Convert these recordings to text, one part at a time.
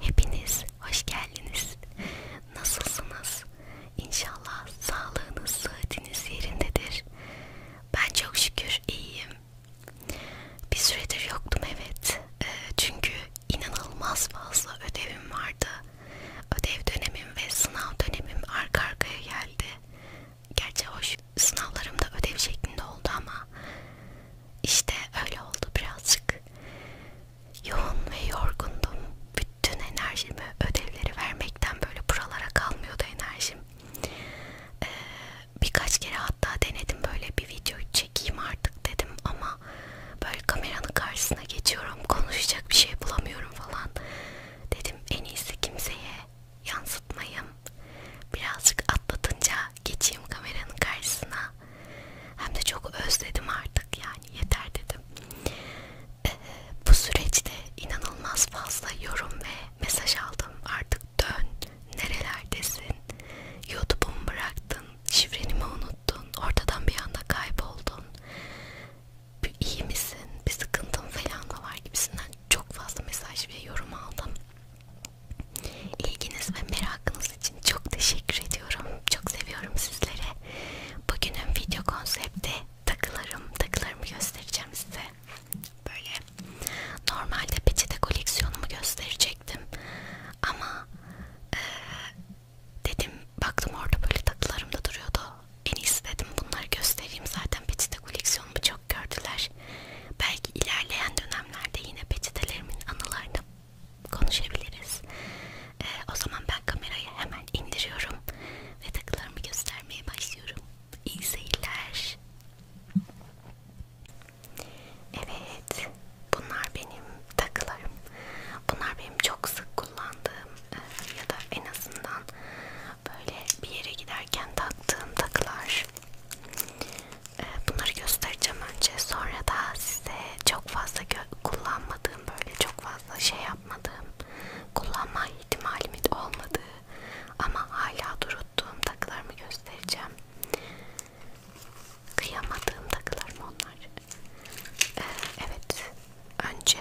Hepiniz hoş geldiniz. Nasılsınız? İnşallah sağlığınız, sıhhatiniz yerindedir. Ben çok şükür iyiyim. Bir süredir yoktum evet. Ee, çünkü inanılmaz fazla ödevim vardı. Ödev dönemim ve sınav dönemim arka arkaya geldi. Gerçi hoş sınavlarım da ödev şeklinde oldu ama işte öyle oldu birazcık. Yoğun ve yorgundum. Bütün enerjimi ödevleri vermekten böyle buralara kalmıyordu enerjim. Ee, birkaç kere hatta denedim böyle bir videoyu çekeyim artık dedim ama böyle kameranın karşısına geçiyorum konuşacak bir şey bulamıyorum falan. Dedim en iyisi kimseye yansıtmayayım. Birazcık atlatınca geçeyim kameranın karşısına hem de çok özledim artık yani yeter dedim. Ee, bu süreçte inanılmaz fazla yorum ve mesaj aldım. Artık dön, nerelerdesin, YouTube'umu bıraktın, şifreni mi unuttun, ortadan bir anda kayboldun, iyi misin, bir sıkıntın falan mı var gibisinden çok fazla mesaj ve yorum aldım. İlginiz ve merakınız katıldığınız için çok teşekkür ediyorum. Çok seviyorum sizleri. Bugünün video konsepti takılarım. Takılarımı göstereceğim size. Böyle normalde peçete koleksiyonumu gösterecektim. Ama e, dedim baktım orada böyle takılarım da duruyordu. En iyisi dedim bunları göstereyim. Zaten peçete koleksiyonumu çok gördüler. Belki ilerleyen dönemlerde yine peçetelerimin anılarını konuşabiliriz. Ee, o zaman ben kamerayı hemen indiriyorum ve takılarımı göstermeye başlıyorum. İyi seyirler. Evet, bunlar benim takılarım. Bunlar benim çok sık kullandığım e, ya da en azından böyle bir yere giderken taktığım takılar bunları göstereceğim önce sonra da size çok fazla kullanmadığım böyle çok fazla şey yapmadığım kullanma ihtimalimin olmadığı ama hala duruttuğum takılarımı göstereceğim kıyamadığım takılarım onlar ee, evet önce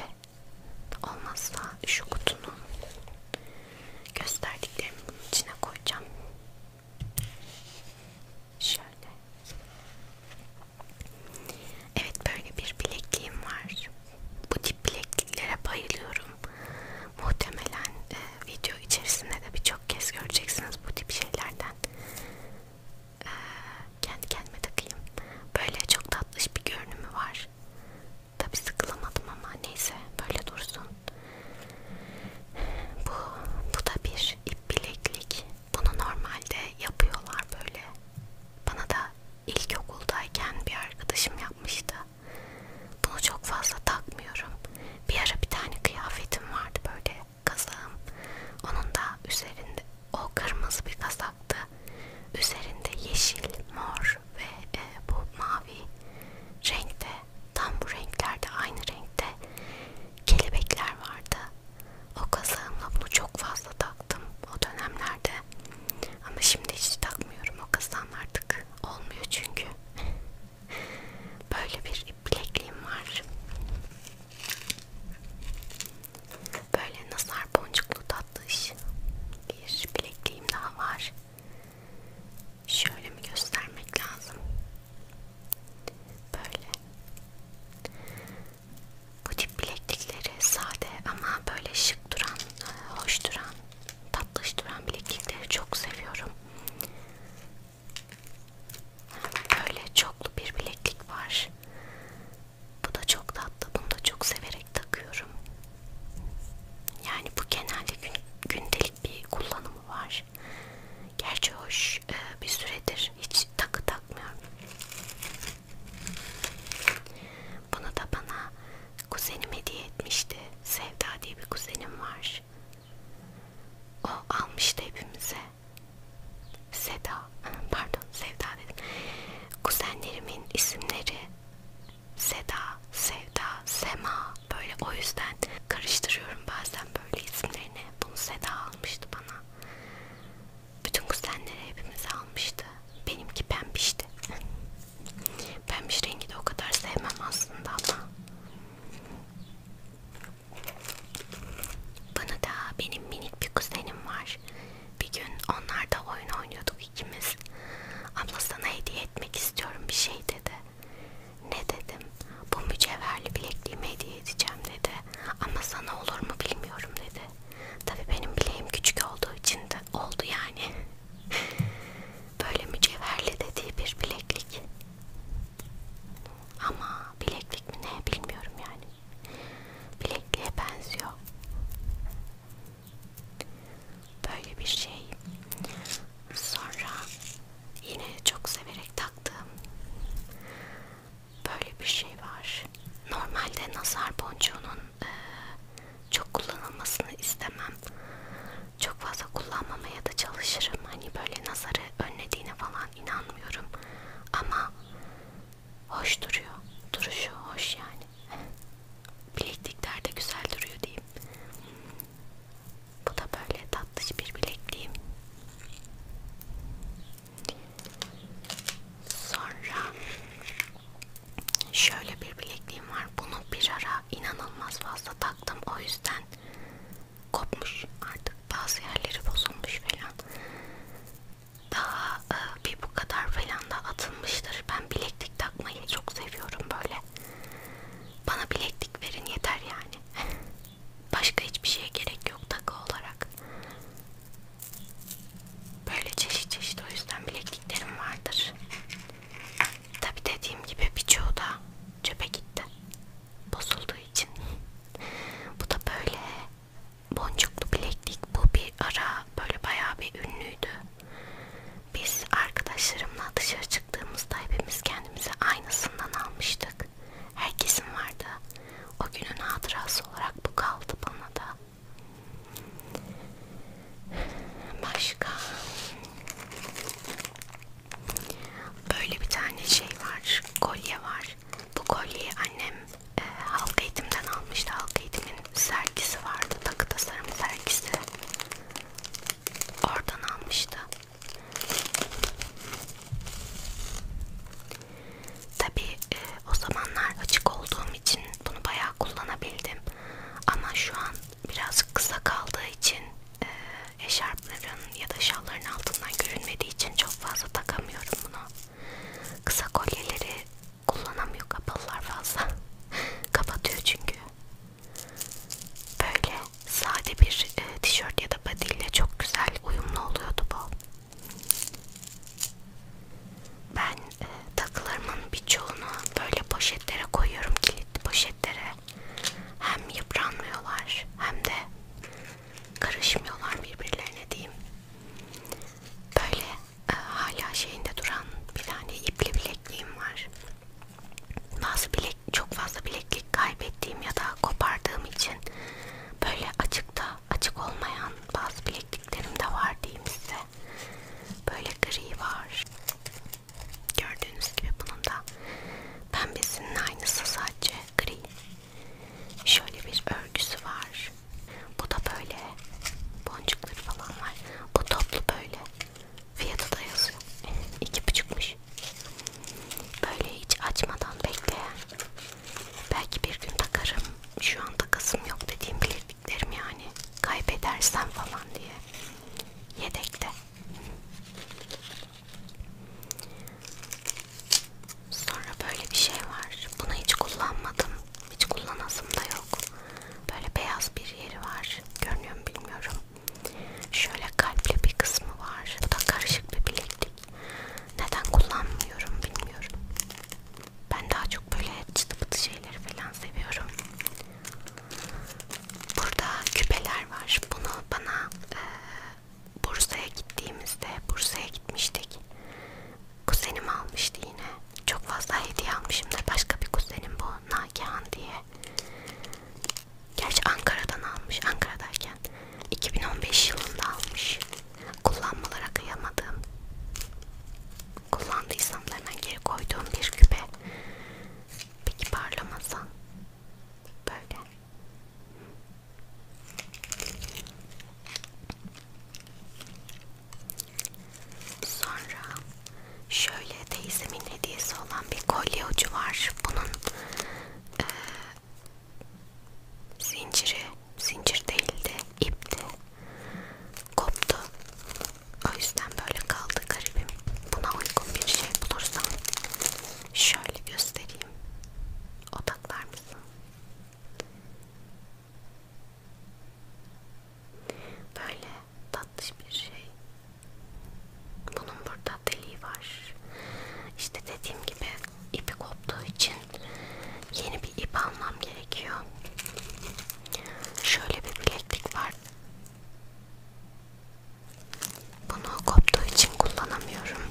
olmazsa şu kutunun gösterdiklerimi bunun içine koyacağım Şöyle. Evet böyle bir bilekliğim var. Bu tip bilekliklere bayılıyorum. Muhtemelen e, video içerisinde de birçok kez göreceksiniz bu tip şeylerden. E, kendi kendime takayım. Böyle çok tatlış bir görünümü var. Tabi sıkılamadım ama neyse böyle dursun. Bu, bu da bir ip bileklik. Bunu normalde yapıyorlar böyle. Bana da ilkokuldayken bir arkadaşım yapmıştı. Bunu çok fazla takmıyorum. Bir ara bir tane kıyafetim vardı böyle kazağım. Onun da üzerinde o kırmızı bir kazaktı. Üzerinde yeşil, mor ve e, bu mavi renkte tam bu renklerde aynı renkte kelebekler vardı. O kazağımla bunu çok fazla taktım o dönemlerde. Ama şimdi hiç takmıyorum o kazağım artık. Olmuyor çünkü. Böyle bir bilekliğim var. Böyle nazar boncuklu tatlış bir bilekliğim daha var. Şöyle mi göstermek lazım? Böyle. Bu tip bileklikleri sade ama böyle şık duran, hoş duran, tatlış duran bileklikleri çok seviyorum. Böyle çoklu bir bileklik var. Bu da çok tatlı. Bunu da çok severek takıyorum. Yani bu genelde gün, gündelik bir kullanımı var var. Gerçi hoş e, bir süredir hiç takı takmıyorum. Bunu da bana kuzenim hediye etmişti. Sevda diye bir kuzenim var. O almıştı hepimize. Seda, e, pardon Sevda dedim. Kuzenlerimin isimleri Seda, Sevda, Sema böyle o yüzden karıştırıyorum bazen böyle isimlerini. Bunu Seda almıştı bana. Bütün kuzenleri hepimiz almıştı. Benimki pembişti. Pembiş rengi de o kadar sevmem aslında ama. Bunu da benim minik bir kuzenim var. Bir gün onlarda oyun oynuyorduk ikimiz. Abla sana hediye etmek istiyorum bir şey dedi. Ne dedim? Bu mücevherli bilekliğimi hediye edeceğim dedi. Ama sana olur mu bilmiyorum dedi. Tabi benim bileğim küçük olduğu için de oldu yani. Böyle mücevherli dediği bir bileklik. Ama bileklik mi ne bilmiyorum yani. Bilekliğe benziyor. Böyle bir şey. Sonra yine çok severek taktığım böyle bir şey var. Normalde nazar boncuğunun e, çok kullanılmasını istemem. Çok fazla kullanmamaya da çalışırım. Hani böyle nazarı önlediğine falan inanmıyorum. Ama hoş duruyor. Duruşu hoş yani. Bileklikler de güzel duruyor diyeyim. Bu da böyle tatlış bir bilekliğim. Sonra şöyle bir bilekliğim var. Bunu bir ara inanılmaz fazla taktım. O yüzden kopmuş artık. Bazı yerleri bozulmuş falan. Daha e, bir bu kadar falan da atılmıştır. Ben bileklik takmayı çok seviyorum böyle. Bana bileklik verin yeter yani. Başka hiçbir şeye gerek yok takı olarak. Böyle çeşit çeşit o yüzden bilekliklerim vardır. Tabi dediğim gibi birçoğu da çöpe gitti. Bozulduğu için. Bu da böyle boncuklu bileklik. Bu bir ara böyle bayağı bir ünlüydü. Biz arkadaşlarımla dışarı çıktığımızda hepimiz kendimize aynısından almıştık olacak. Herkesin vardı. O günün hatırası olarak bu kaldı bana da. Başka böyle bir tane şey var, kolye var. Bu kolyeyi annem e, halk eğitimden almıştı. Halk eğitimin sergisi vardı, takı tasarım sergisi. Oradan almıştı. Tabi e, o zamanlar açık olduğum için bunu bayağı kullanabildim. Ama şu an biraz kısa kaldığı için e, eşarpların ya da şalların altından görünmediği için çok fazla takamıyorum bunu. Kısa kolyeleri kullanamıyor kapalılar fazla. Kapatıyor çünkü. Böyle sade bir e, tişört ya da badille çok güzel uyumlu oluyordu bu. Ben e, takılarımın birçoğunu böyle poşetlere koyuyorum, kilitli poşetlere. Hem yıpranmıyorlar hem de karışmıyorlar birbirlerine diyeyim. Böyle e, hala şeyinde duran bir tane ipli bilekliğim var. Bazı bilek, çok fazla bileklik kaybettiğim ya da kopardığım için böyle açıkta açık olmayan bazı bilekliklerim de var diyeyim size. Böyle gri var. Gördüğünüz gibi bunun da pembesinin aynısı sadece gri. Şöyle bir örgüsü var. Bu da böyle boncukları falan var. Bu toplu böyle. Fiyatı da yazıyor. İki buçukmuş. Böyle hiç açmadan bekleyen Belki bir gün takarım. Şu an takasım yok dediğim bilekliklerim yani. Kaybedersem falan diye. Yedekte. Sonra böyle bir şey var. Bunu hiç kullanmadım. Hiç kullanasım da yok. Böyle beyaz bir yeri var. Görünüyor mu bilmiyorum. Şöyle kalpli bir kısmı var. Bu da karışık bir bileklik. Neden kullanmıyorum bilmiyorum. Ben daha çok böyle çıtı pıtı şeyleri falan seviyorum. Burada küpeler var. Bunu bana e, Bursa'ya gittiğimizde, Bursa'ya gitmiştik. Kuzenim almıştı yine. Çok fazla hediye almışım da başka bir kuzenim bu Nagihan diye. Gerçi Ankara'dan almış. Ankara'dayken 2015 yılında almış. Kullanmalara kıyamadığım, kullandıysam da hemen geri koyduğum bir küpe. Peki parlamasa? Böyle. Sonra şöyle teyzemin hediyesi olan bir kolye ucu var. Bunun e, zinciri, zincir değildi, ipti, koptu. O yüzden böyle kaldı garibim. Buna uygun bir şey bulursam şöyle göstereyim. Odaklar mısın? Böyle tatlış bir şey. Bunun burada deliği var. İşte dediğim gibi ipi koptuğu için yeni bir ip almam gerekiyor. Şöyle bir bileklik var. Bunu koptuğu için kullanamıyorum.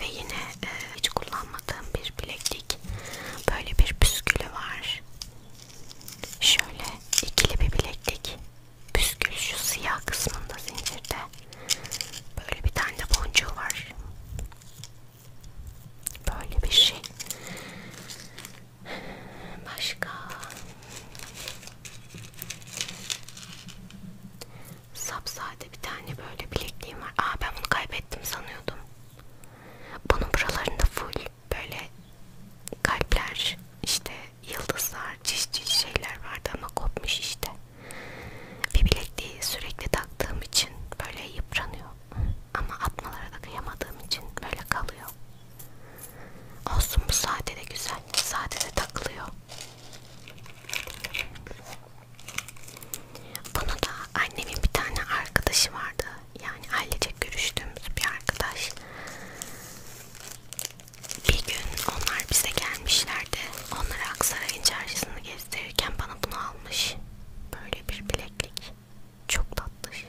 Ve yine e, hiç kullanmadığım bir bileklik. Böyle bir püskülü var. Şöyle ikili bir bileklik püskül şu siyah kısmında zincirde böyle bir tane de boncuğu var böyle bir şey başka sapsade bir tane böyle bilekliğim var aa ben bunu kaybettim sanıyordum bunun buralarında full böyle kalpler işte yıldızlar, çiş çiş şeyler vardı ama kopmuş işte. Bir bilekliği sürekli taktığım için böyle yıpranıyor. Ama atmalara da kıyamadığım için böyle kalıyor. Olsun bu sade de güzel. Sade de takılıyor. Bunu da annemin bir tane arkadaşı vardı. Yani ailecek görüştüğümüz bir arkadaş. Bir gün onlar bize gelmişlerdi. Onlara Aksaray'ın çarşısını gezdirirken bana bunu almış. Böyle bir bileklik. Çok tatlış.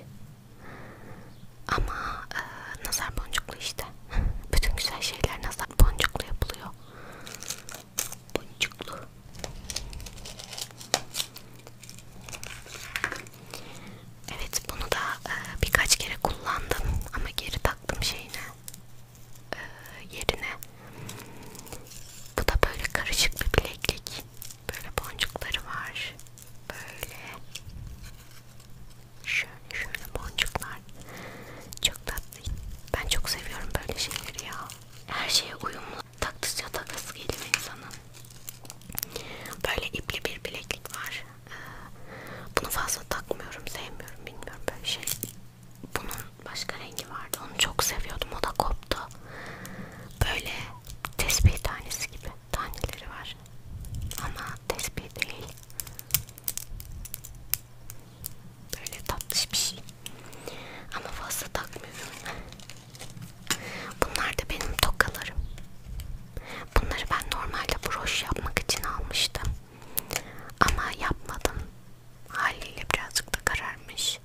Ama e, nazar boncuklu işte. Bütün güzel şeyler nazar boncuklu yapılıyor. Boncuklu. Evet bunu da e, birkaç kere kullandım ama geri de taktım şeyine e, yerine. Bu da böyle karışık bir bileklik. Böyle boncukları var. Böyle şöyle şöyle boncuklar. Çok tatlı. Ben çok seviyorum böyle şeyleri ya. Her şeye uyumlu. Taktıkça takası geliyor insanın. Böyle ipli bir bileklik var bunu fazla takmıyorum sevmiyorum bilmiyorum böyle şey bunun başka rengi vardı onu çok seviyordum o da koptu böyle tespih tanesi gibi taneleri var ama tespih değil böyle tatlış bir şey ama fazla takmıyorum bunlar da benim tokalarım bunları ben normalde broş yapmak için almıştım ama yapmadım. Haliyle birazcık da kararmış.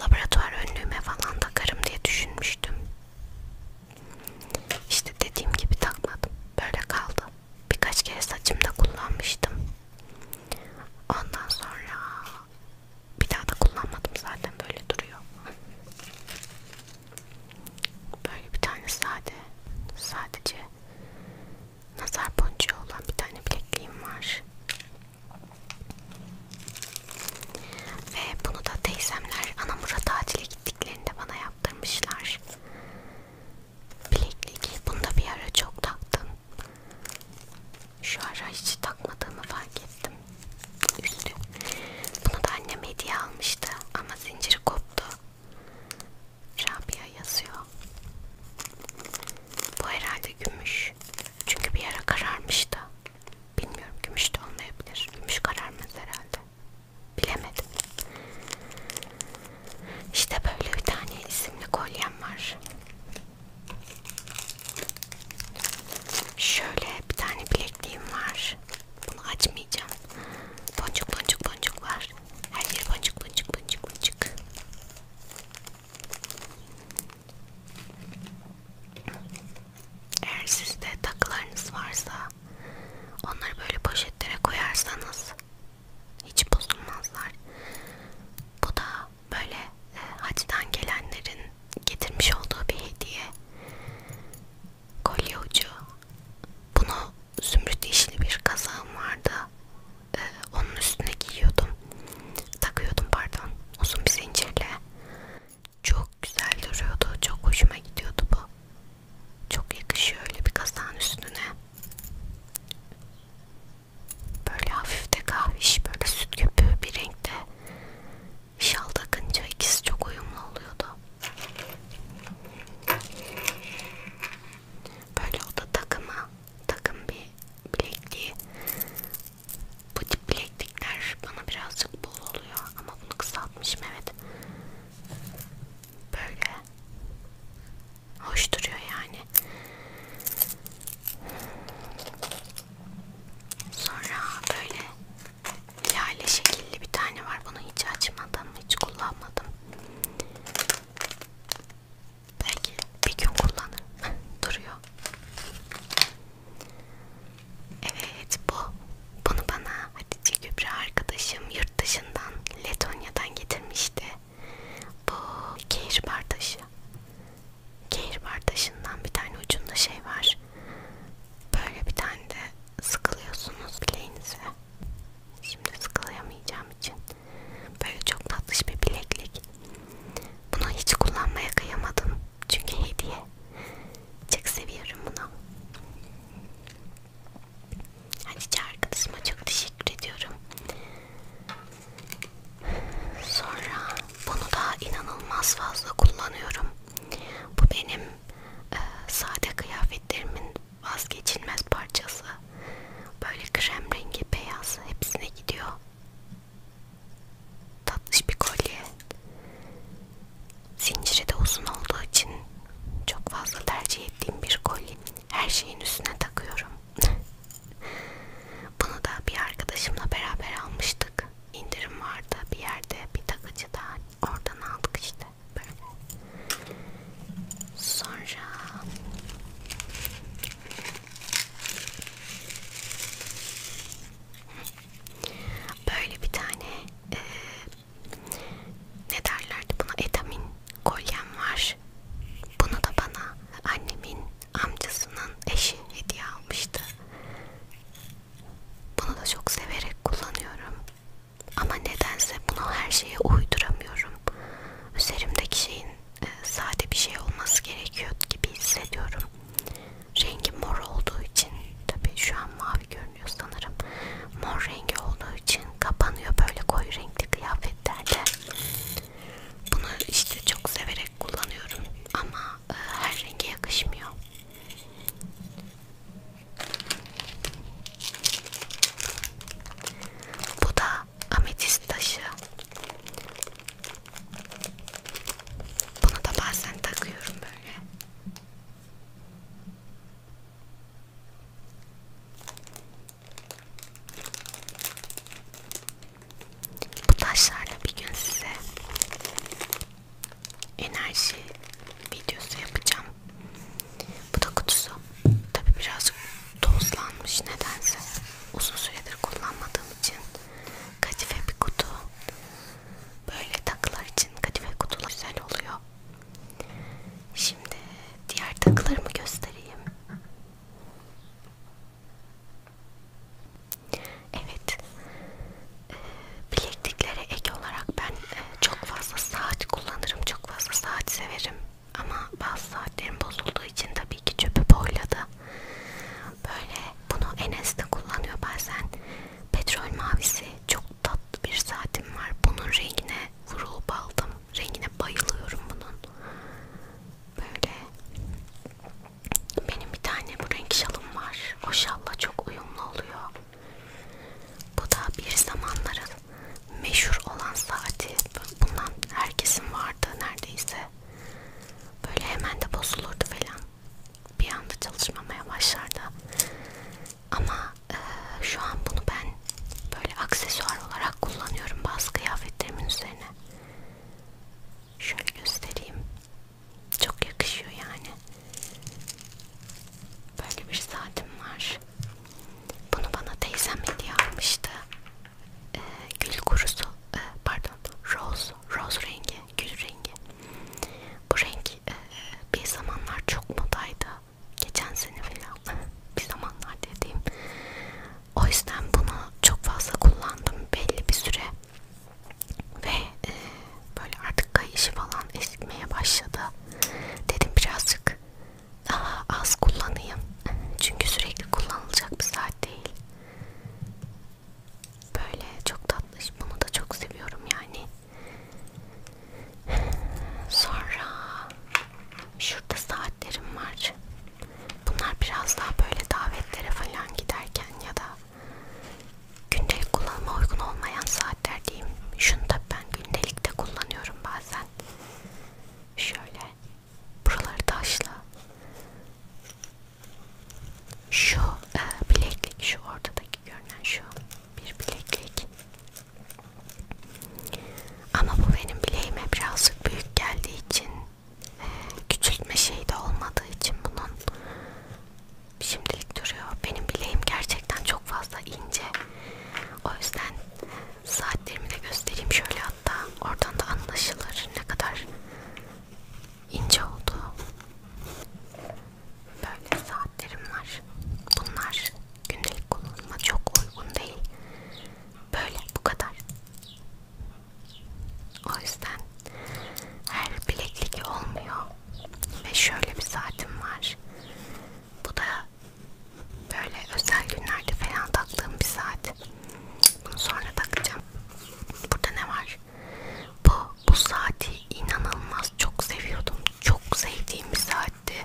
Laboratuvar önlüğüme falan takarım diye düşünmüştüm. İşte dediğim gibi takmadım. Böyle kaldı. Birkaç kere saçımda kullanmıştım. Ondan sonra bir daha da kullanmadım zaten böyle duruyor. Böyle bir tane sade, sadece nazar boncuğu olan bir tane bilekliğim var. Ve bunu da teyzemler Anamur'a tatile gittiklerinde bana yaptırmışlar. Bileklik. Bunu da bir ara çok taktım. Şu ara hiç takmadığımı fark ettim. Üstü. Bunu da annem hediye almıştı ama zinciri koptu. Rabia yazıyor. Bu herhalde gümüş. Çünkü bir ara kararmıştı. Bilmiyorum gümüş de olmayabilir. Gümüş kararmaz herhalde. Bilemedim. İşte böyle bir tane isimli kolyem var. Şöyle bir tane bilekliğim var. Bunu açmayacağım. Boncuk boncuk boncuk var. Her yer boncuk boncuk boncuk boncuk. Eğer sizde takılarınız varsa onları böyle poşetlere koyarsanız hiç bozulmazlar. Bu da böyle e, hacdan gelenlerin getirmiş olduğu bir hediye kolye ucu bunu zümrüt yeşili bir kazağım vardı ee, onun üstüne giyiyordum takıyordum pardon uzun bir zincirle çok güzel duruyordu çok hoşuma gidiyordu bu çok yakışıyor öyle bir kazağın üstüne böyle hafif de kahviş böyle süt köpüğü bir renkte şal takınca ikisi çok uyumlu oluyordu Böyle o da takıma takım bir bilekliği. Bu tip bileklikler bana birazcık bol oluyor ama bunu kısaltmışım evet. Böyle hoş duruyor yani. Sonra böyle lale şekilli bir tane var. Bunu hiç açmadım, hiç kullanmadım. Belki bir gün kullanır. Duruyor. Evet bu. Bunu bana Hatice Gübre arkadaşım yurt dışından Letonya'dan getirmişti. Bu kehribar taşı. Kehribar taşından bir tane ucunda şey var. Böyle bir tane de sıkılıyorsunuz bileğinize. Şimdi sıkılayamayacağım için böyle çok tatlış bir bileklik. Bunu hiç kullanmaya kıyamadım çünkü hediye. Çok seviyorum bunu. Hatice arkadaşıma çok teşekkür ediyorum. Sonra bunu da inanılmaz fazla kullanıyorum. Bu benim e, sade kıyafetlerimin vazgeçilmez parçası. Böyle krem rengi beyaz hepsine gidiyor. Tatlış bir kolye. Zinciri de uzun olduğu için çok fazla tercih ettiğim bir kolye. Her şeyin üstüne takıyorum. Bunu da bir arkadaşımla beraber almıştık. İndirim vardı bir yerde bir takıcıda. Oradan aldık işte şekilde böyle. Sonra böyle bir tane e, ne derlerdi buna etamin kolyem var. Bunu da bana annemin amcasının eşi hediye almıştı. Bunu da çok severek kullanıyorum. Ama nedense bunu her şeye uyduramıyorum. Üzerimdeki şeyin e, sade bir şey olması gerekiyor gibi hissediyorum. Rengi mor olduğu için tabii şu an mavi görünüyor sanırım. Mor rengi olduğu için kapanıyor böyle koyu renkli kıyafetlerde. Bunu işte çok severek kullanıyorum ama e, her renge yakışmıyor. Bu da ametist taşı. Bunu da bazen takıyorum böyle. Bu taşlarla bir gün size enerji videosu yapacağım bu da kutusu. Tabi birazcık tozlanmış nedense. Uzun süredir kullanmadığım için kadife bir kutu. Böyle takılar için kadife kutular güzel oluyor. Şimdi diğer takılarımı göstereyim. Evet. Ee, bilekliklere ek olarak ben e, çok fazla saat kullanırım, çok fazla saat severim. Ama bazı saatlerim bozulduğu için tabii ki çöpü boyladı. Böyle bunu Enes de kullanıyor bazen. Petrol mavisi çok tatlı bir saatim var. Bunun rengine vurup aldım. Rengine bayılıyorum bunun. Böyle benim bir tane bu renk şalım var. O şalla çok uyumlu oluyor. Bu da bir zamanların meşhur olan saati. Bundan herkesin vardı neredeyse. Böyle hemen de bozulurdu falan. Bir anda çalışmamaya başlardı. Ama e, şu an bunu ben böyle aksesuar olarak kullanıyorum bazı kıyafetlerimin üzerine. Şöyle göstereyim. Çok yakışıyor yani. Böyle bir saatim var. Bunu bana teyzem hediye almıştı. Ee, gül kurusu, e, pardon, rose, rose rengi, gül rengi. Bu renk e, e bir zamanlar çok modaydı. Geçen sene falan, bir zamanlar dediğim. O yüzden bunu çok fazla kullandım belli bir süre. Ve e, böyle artık kayışı falan eskimeye başladı. Dedim birazcık daha az kullanayım çünkü sürekli kullanılacak bir saat değil böyle çok tatlı bunu da çok seviyorum yani sonra şurada saatlerim var bunlar biraz daha böyle davetlere falan giderken ya da gündelik kullanıma uygun olmayan saatler saatler diyeyim. Şunu da ben gündelikte kullanıyorum bazen. Şöyle buraları taşla. Şu e, bileklik, şu ortadaki görünen şu bir bileklik. Ama bu benim bileğime birazcık büyük geldiği için e, küçültme şeyi de olmadığı için bunun şimdilik duruyor. Benim bileğim gerçekten çok fazla ince. O yüzden Saatlerimi de göstereyim şöyle hatta. Oradan da anlaşılır ne kadar ince oldu. Böyle saatlerim var. Bunlar gündelik kullanıma çok uygun değil. Böyle bu kadar. O yüzden her bileklik olmuyor. Ve şöyle bir saatim var. Bu da Böyle özel günlerde falan taktığım bir saat. Bunu sonra takacağım. Burada ne var? Bu, bu saati inanılmaz çok seviyordum. Çok sevdiğim bir saatti.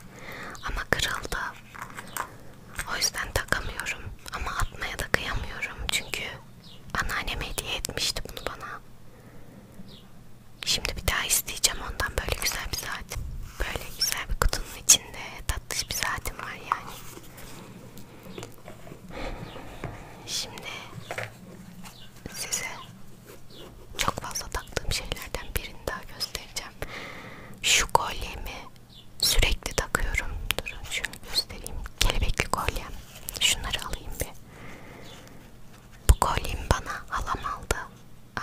Ama kırıldı. O yüzden takamıyorum. Ama atmaya da kıyamıyorum. Çünkü anneanneme hediye etmişti bunu bana. Şimdi bir daha isteyeceğim ondan böyle güzel bir saat. Böyle güzel bir kutunun içinde tatlış bir saatim var yani. Şimdi size çok fazla taktığım şeylerden birini daha göstereceğim. Şu kolyemi sürekli takıyorum. Durun şunu göstereyim. Kelebekli kolyem. Şunları alayım bir. Bu kolyemi bana halam aldı.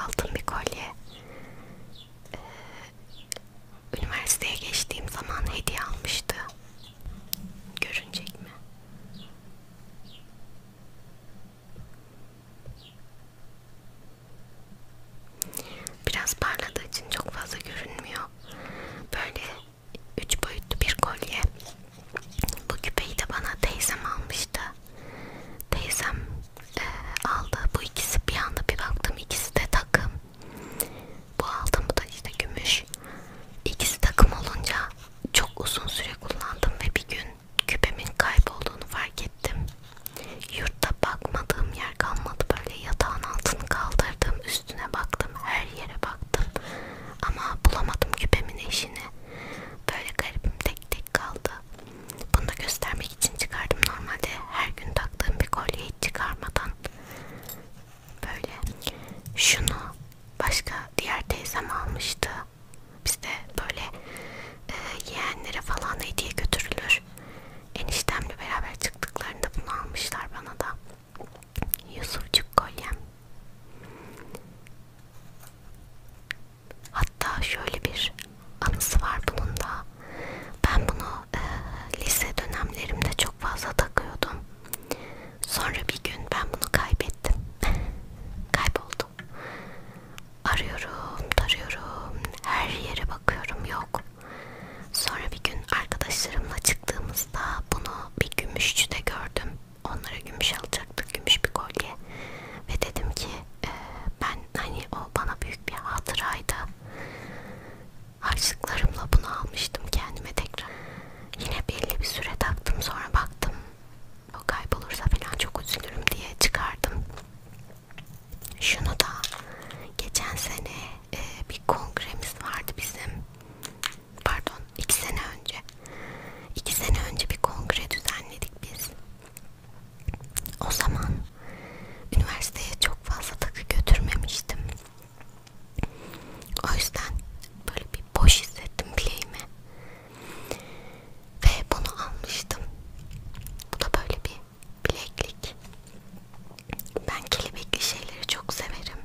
Altın bir kolye e, üniversiteye geçtiğim zaman hediye almıştı. Görünecek mi? Biraz parladığı için çok fazla görünmüyor. Böyle üç boyutlu bir kolye. Bu küpeyi de bana teyzem almıştı teyzem e, aldı bu ikisi bir anda bir baktım ikisi de takım bu aldım bu da işte gümüş ikisi takım olunca çok uzun süre kullandım ve bir gün küpemin kaybolduğunu fark ettim yurtta bakmadığım yer kalmadı böyle yatağın altını kaldırdım üstüne baktım her yere baktım ama bulamadım küpemin eşini böyle garibim tek tek kaldı bunu da göstermek için çıkardım. Normalde her gün taktığım bir kolyeyi çıkarmadan böyle. Şunu başka diğer teyzem almıştı. Bizde böyle e, yeğenlere falan hediye götürülür. Eniştemle beraber çıktıklarında bunu almışlar bana da. Yusufçuk kolyem. Hatta şöyle bir anısı var bunun da. Ben bunu e, lise dönemlerimde çok fazla takıyordum. Sonra bir gün ben bunu kaybettim. Kayboldu. Arıyorum, tarıyorum, her yere bakıyorum yok. Sonra bir gün arkadaşlarımla çıktığımızda bunu bir gümüşçüde gördüm. Onlara gümüş alacaktık, gümüş bir kolye. Ve dedim ki e, ben hani o bana büyük bir hatıraydı. Harçlıklarımla bunu almıştım kendime tekrar. Yine belli bir süre taktım sonra baktım. O kaybolursa falan çok üzülürüm diye çıkardım. Şunu da geçen sene e, bir kongremiz vardı bizim. Pardon iki sene önce. İki sene önce bir kongre düzenledik biz. O zaman üniversiteye çok fazla takı götürmemiştim. O yüzden böyle bir boş hissettim bileğimi. Ve bunu almıştım. Bu da böyle bir bileklik. Ben kelebekli şeyleri çok severim.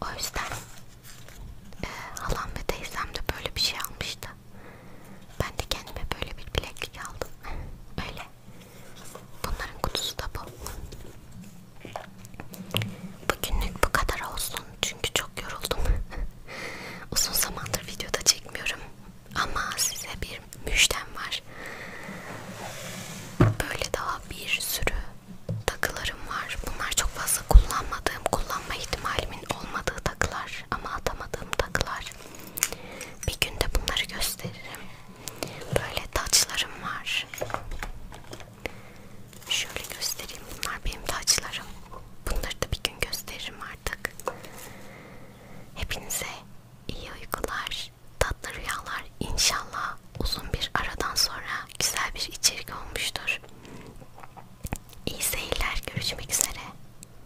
O yüzden e, halam ve teyzem de böyle bir şey almıştı. Ben de kendime böyle bir bileklik aldım. Öyle. Bunların kutusu da bu. Bugünlük bu kadar olsun. Çünkü çok yoruldum. Uzun zamandır videoda çekmiyorum. Ama size bir müjdem var. Böyle daha bir sürü takılarım var. Bunlar çok fazla kullanmadığım, kullanma ihtimalimin olmadığı takılar ama atamadığım takılar. Bir gün de bunları gösteririm. Böyle taçlarım var. Şöyle göstereyim. Bunlar benim taçlarım. Bunları da bir gün gösteririm artık. Hepinize iyi uykular, tatlı rüyalar. İnşallah uzun bir aradan sonra güzel bir içerik olmuştur. İyi seyirler. Görüşmek üzere.